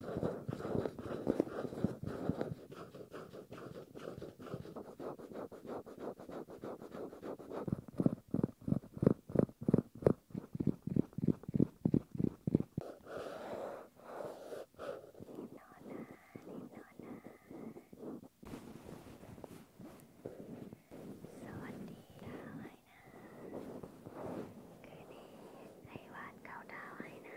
สวัสดีค่ะไว้นะคืนนี้ให้วาดเขาดาวให้นะ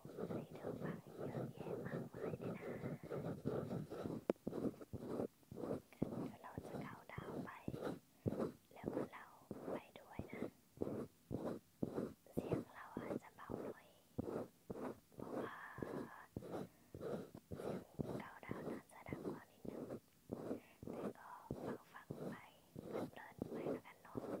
มีเธอฟังเยอะแยะมากมายเลยนะเดี๋ยวเราจะเข้าดาวไป แล้วก็เราไปด้วยนะ เสียงเราอาจจะเบาหน่อยเพราะว่าเกาดาวน่าจะดังกว่านิดนึงแต่ก็ฟังฟังไปเพลินไปแล้วกันเนาะ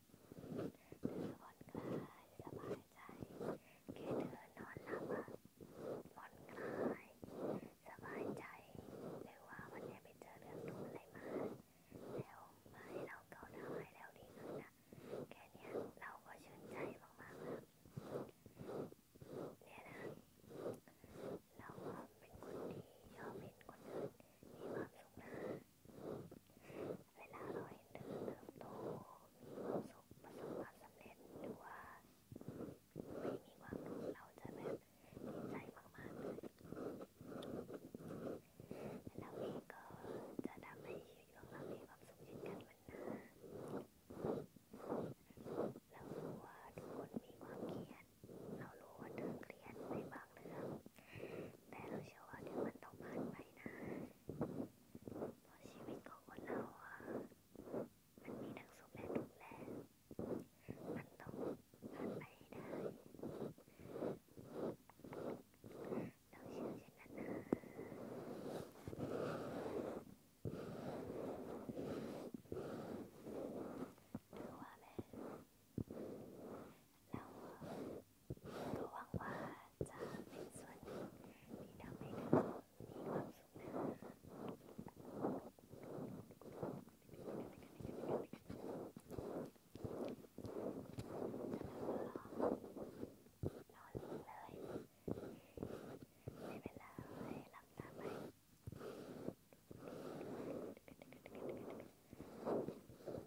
ผ่อนคลายสบายใจแค่เธอนอนหลับอะผ่อนคลายสบายใจหรือว่าวันนี้ไปเจอเรื่องทุกข์อะไรมาแล้วมาให้เราเกาดาวให้แล้วดีขึ้นนะแค่เนี้ยเราก็ชื่นใจมากๆเนี่ยนะ เราเป็นคนที่ชอบเห็นคนอื่นมีความสุขนะเวลาเราเห็นเธอเติบโตมีความสุขประสบความสำเร็จหรือว่าไม่มีความรู้เราจะแบบดีใจมากๆเลยเราเองก็จะทำให้ชีวิตของเรามีความสุขเช่นกันวันหน้าเรารู้ว่าทุกคนมีความเครียดเรารู้ว่าเธอเครียดในบางเรื่องแต่เราเชื่อว่าเดี๋ยวมันต้องผ่านไปนะเพราะชีวิตของคนเราอ่ะมันมีทั้งสุขและทุกข์แหละมันต้องผ่านไปให้ได้เราเชื่อเช่นนั้นนะถือว่าแม่แล้วก็หวังว่าจะเป็นส่วนหนึ่งที่ทำให้เธอมีความสุขนะไม่เป็นไรหลับตาไปหลับตาไป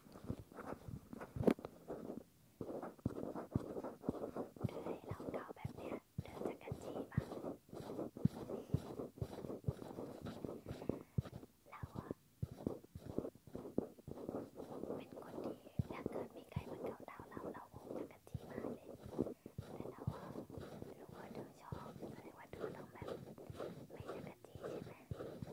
เราเกาแบบเนี้ยเริ่มจากกันจีบ้างเราอะเป็นคนที่ถ้าเกิดมีใครมาเกาเรา เราเราคงจะกันจีมากเลยแต่เราอะรู้ว่าเธอชอบแสดงว่าเธอต้องแบบ ไม่จะกันจีใช่ไหม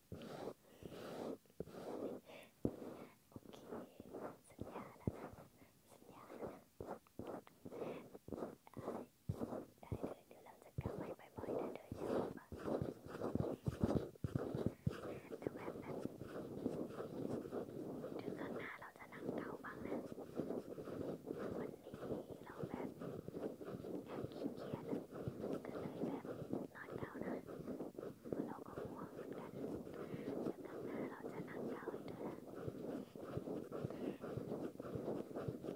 สัญญาแล้วนะสัญญาแล้วนะได้เลยเดี๋ยวเราจะกลับไปบ่อยๆนะเธอชอบปะแต่แบบนั้นถึงข้างหน้าเราจะนั่งเกาบ้างนะ วันนี้เราแบบอยากขี้เกียจนะก็เลยแบบนอนเกานะเราก็ห่วงเหมือนกันแต่ครั้งหน้าเราจะนั่งเก้าให้ด้วยน